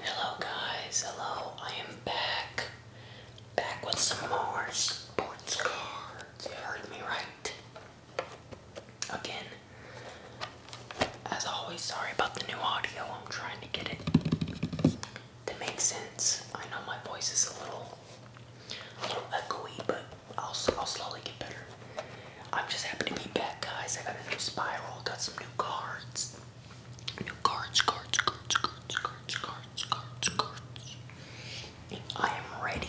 Hello guys, hello, I am back. Back with some more sports cards. You heard me right. Again, as always, sorry about the new audio. I'm trying to get it to make sense. I know my voice is a little a little echoey, but I'll, I'll slowly get better. I'm just happy to be back, guys. I got a new spiral, got some new cards. New cards, cards, cards, cards, cards, cards, cards, cards. And I am ready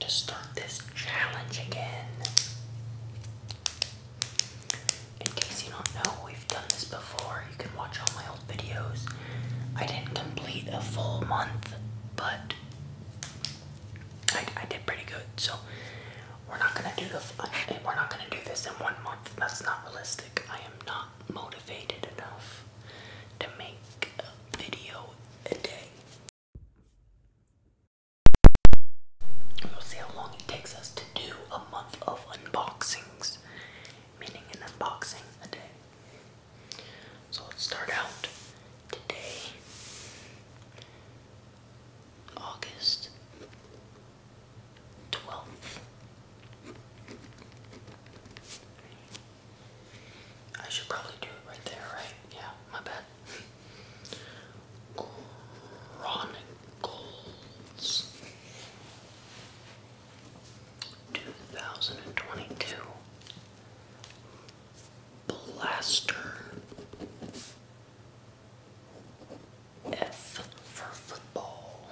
to start this challenge again. In case you don't know, we've done this before. You can watch all my old videos. I didn't complete a full month, but I, I did pretty good. So we're not gonna do the we're not gonna do this in one month. That's not realistic. I am not motivated enough to make a video a day. We'll see how long it takes us to do a month of unboxings, meaning an unboxing a day. So let's start out today. August 12th. I should probably do it right there, right? Yeah, my bad. Chronicles 2022 Blaster F for football.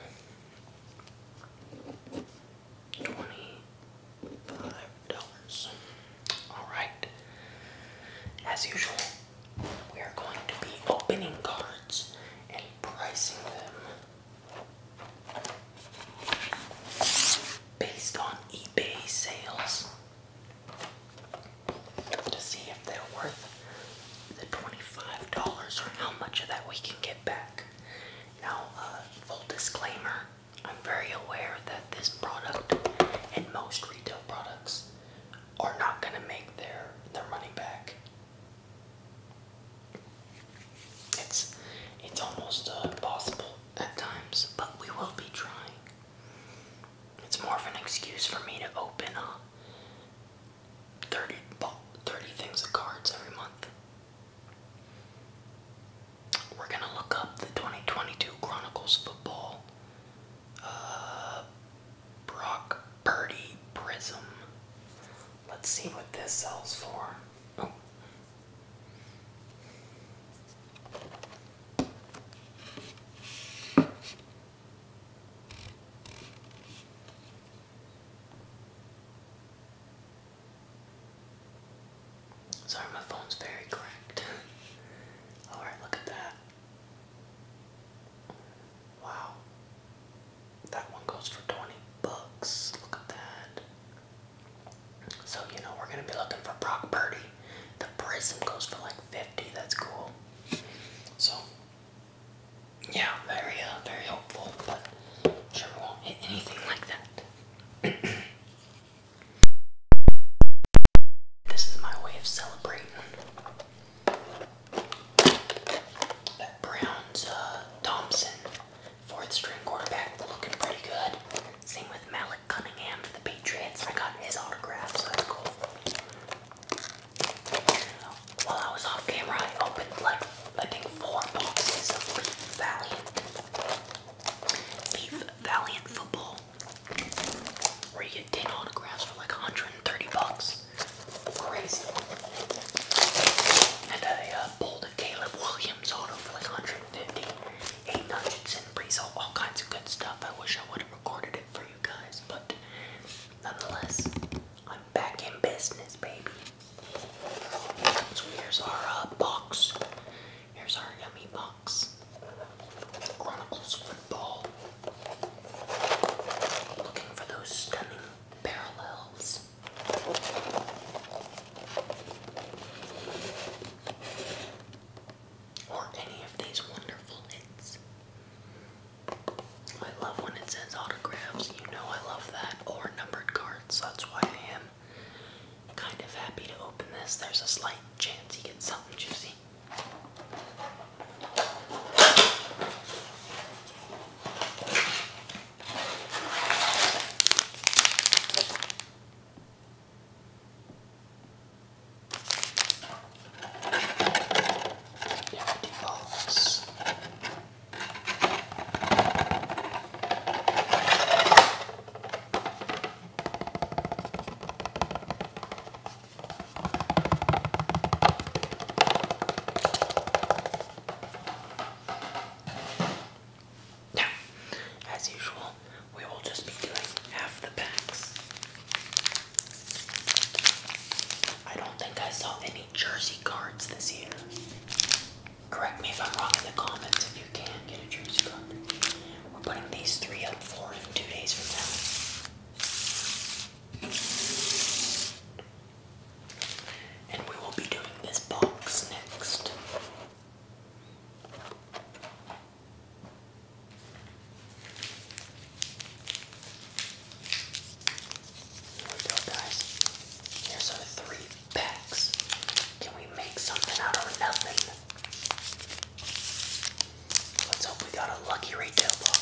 Twenty-five dollars. Alright. As usual, we are going to be opening cards and pricing them based on eBay sales to see if they're worth the $25 or how much of that we can get back. Now, uh, full disclaimer, I'm very aware that this product and most retail products are not going to make their, their money back. It's, it's almost uh, impossible at times, but we will be trying. It's more of an excuse for me to open up 30, things of cards every month. We're gonna look up the 2022 Chronicles Football uh, Brock Purdy Prism. Let's see what this sells for. Oh. Sorry, my phone's very cracked. Alright, look at that. Wow. That one goes for 20 bucks. Look at that. So, you know, we're going to be looking for Brock Purdy. The prism goes for like 50. That's cool. So, yeah, very, uh, very hopeful, but sure won't hit anything like that. this is my way of celebrating that Browns uh, Thompson, fourth string quarterback, looking pretty good. Same with Malik Cunningham for the Patriots. I got his autograph, so that's cool. While I was off camera, I opened like I think four boxes of Leaf Valiant. Leaf Valiant football, where you get ten autographs for like 130 bucks. Crazy. And I pulled a uh, Caleb Williams auto for like 150. Aiden Hutchinson, Breeze, all kinds of good stuff. I wish I would have recorded it for you guys, but nonetheless, I'm back in business, baby. So here's our uh, box. Here's our yummy box. Chronicles football. Looking for those stunning parallels. Or any of these wonderful hits. I love when it says autographs. You know I love that. Or numbered cards. That's why I am kind of happy to open this. There's a slight chance he gets something juicy empty as usual, we will just be doing half the packs. I don't think I saw any jersey cards this year. Correct me if I'm wrong in the comments if you can get a jersey card. We're putting these three up for two days from now. And we will be doing this box next guys. Here's our three packs. Can we make something out of nothing? Let's hope we got a lucky retail box.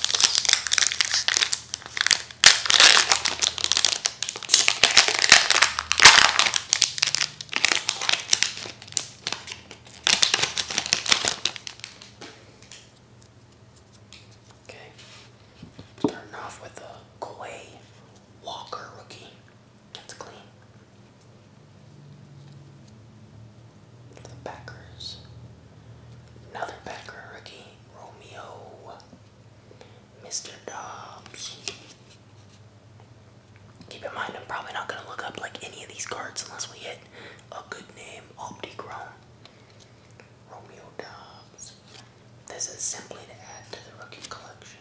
Okay. Starting off with a Quay Walker rookie. That's clean. the Packers. Another Packer rookie, Romeo. Mr. Dobbs. Keep in mind, I'm probably not going to look up like any of these cards unless we hit a good name, Optichrome. Romeo Dobbs. This is simply to add to the rookie collection.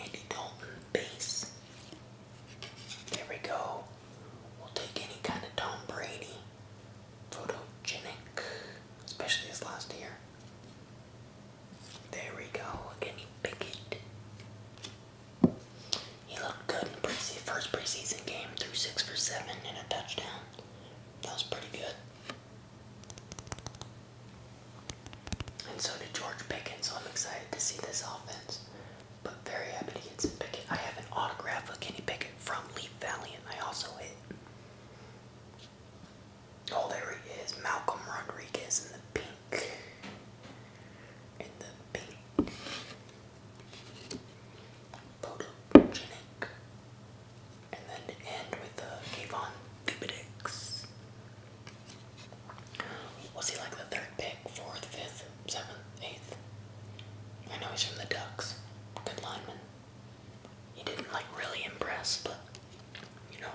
Andy Dalton base. There we go. We'll take any kind of Tom Brady. Photogenic. Especially this last year. There we go. Kenny Pickett. He looked good in the first preseason game, threw six for seven and a touchdown. That was pretty good. And so did George Pickens, so I'm excited to see this offense. But very happy to get some Pickett. I have an autograph of Kenny Pickett from Leaf Valley, and I also hit. Oh, there he is, Malcolm Rodriguez in the pink. In the pink. Photogenic. And then end with the Kayvon Thibodex. Was he like the third pick, fourth, fifth, seventh, eighth? I know he's from the Ducks. Good lineman. He didn't like really impress, but you know,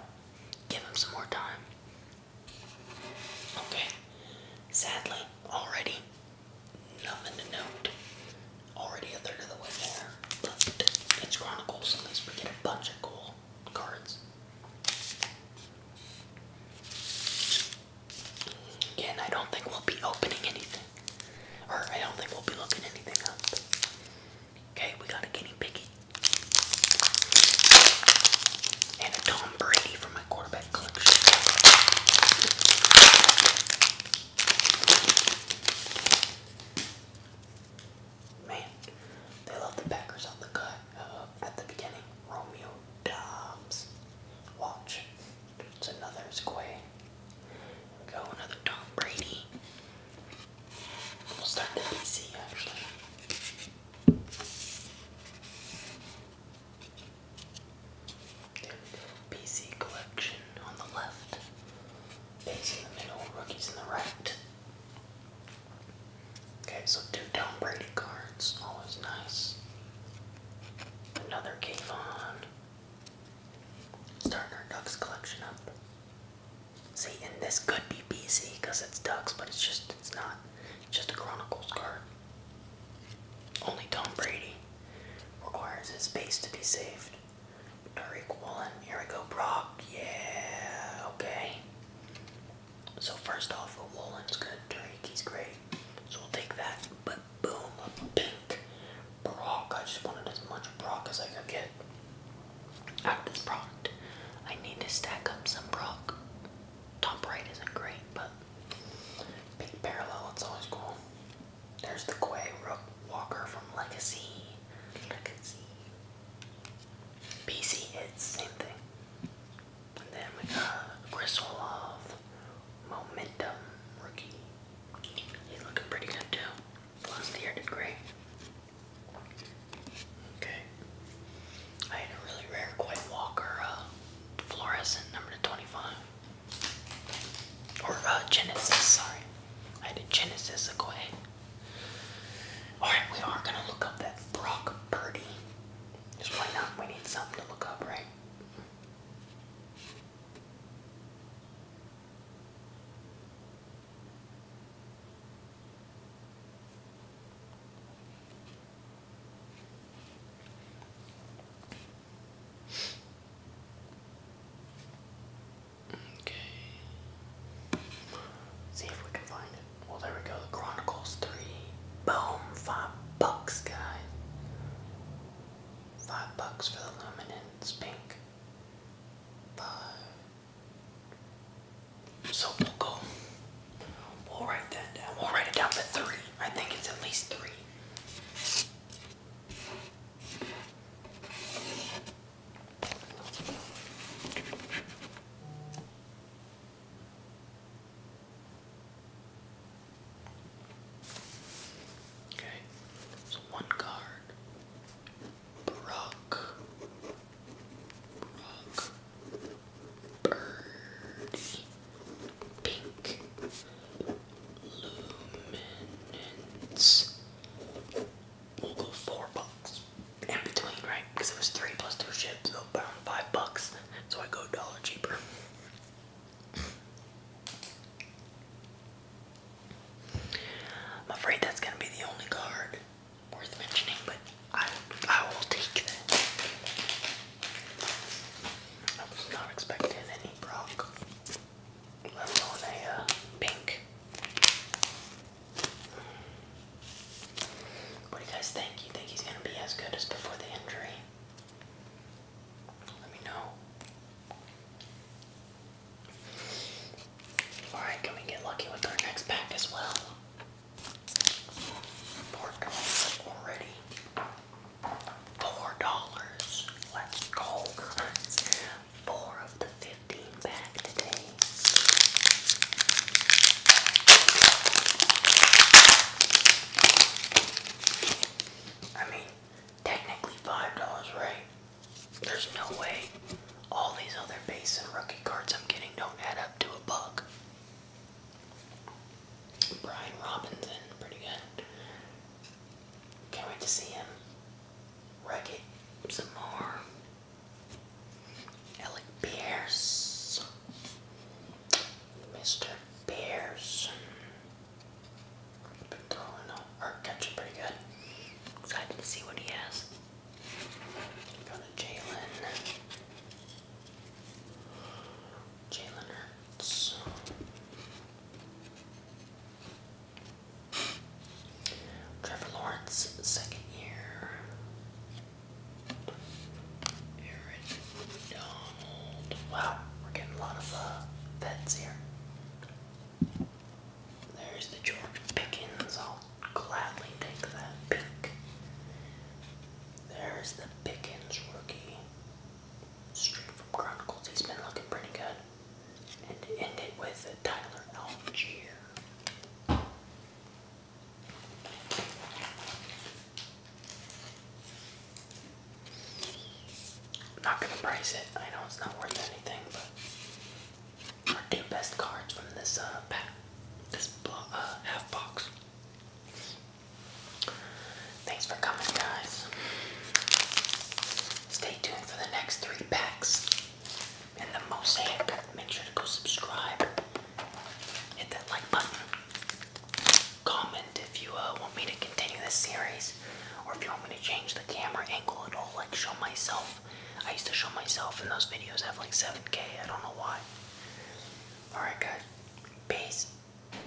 give him some more time. Okay. Sadly, already Nothing to note. Already a third of the way there, but it's Chronicles, at least we get a bunch of cool cards. Again, I don't think we'll be opening anything. Or I don't think we'll be looking anything up. Okay, we got a guinea piggy. And a Tom Brady my quarterback collection. Man, they love the Packers on the cut uh, at the beginning. Romeo Dobbs. Watch. It's another square. Go another Tom Brady. We'll start the PC actually. There we go. PC collection on the left. Base in the middle, rookies in the right. Okay, so two Tom Brady cards, always nice. Another Kayvon. Starting our Ducks collection up. See, and this could be BC because it's Ducks, but it's just, it's not. It's just a Chronicles card. Only Tom Brady requires his base to be saved. Tariq Woolen, here we go, Brock. Yeah, okay. So first off, Woolen's good, Tariq, he's great. So we'll take that, but boom, pink. Brock, I just wanted as much Brock as I could get out of this product. I need to stack up some Brock. Top right isn't great, but Big parallel, it's always cool. There's the Quay Rook Walker from Legacy. Legacy. BC hits, same thing. And then we got Chris Love, Momentum Rookie. He's looking pretty good too. Last year did great. Okay. I had a really rare Quay Walker, uh, fluorescent number 25. Or uh, Genesis, sorry. I had a Genesis a way. Alright, we are gonna look up that Brock Purdy. Just why not? We need something to look up, right? Okay. See if we can find it. Well, there we go. Chronicles 3. Boom! Five bucks, guys. Five bucks for the luminance pink. Five. So we'll go. We'll write that down. We'll write it down for three. I think it's at least three. Okay, so one card. Brock. Brock. Birdie pink luminance. We'll go four bucks in between, right? Because it was three plus two ships, so about five bucks. So I go dollar cheaper. I'm afraid that's gonna be the only card worth mentioning, but I I will take that. I was not expecting any Brock, let alone a uh, pink. What do you guys think? You think he's going to be as good as before the injury? Let me know. Alright, can we get lucky with our next pack as well? already. Four dollars. Let's go, Four of the fifteen back today. I mean, technically five dollars, right? There's no way all these other base and rookie cards I'm getting don't add up to a buck. Brian Robinson, pretty good. Can't wait to see him wreck it some more. Alec Pierce. Mr. Pierce. Been throwing up or catching pretty good. Excited to see what he has. Go to Jalen. Jalen Hurts. Trevor Lawrence, second year. Aaron Donald. Wow, we're getting a lot of uh, vets here. There's the George Pickens. I'll gladly take that pick. There's the Pickens rookie straight from Chronicles. He's been looking pretty good. And to end it with Tyler Algier. i not gonna price it. I know it's not worth anything, but our two best cards from this uh pack, this uh, half box. Thanks for coming, guys. Stay tuned for the next three packs and the mosaic. Make sure to go subscribe. Hit that like button. Comment if you uh, want me to continue this series or if you want me to change the camera angle at all, like show myself. I used to show myself in those videos have like 7K. I don't know why. Alright, guys. Peace.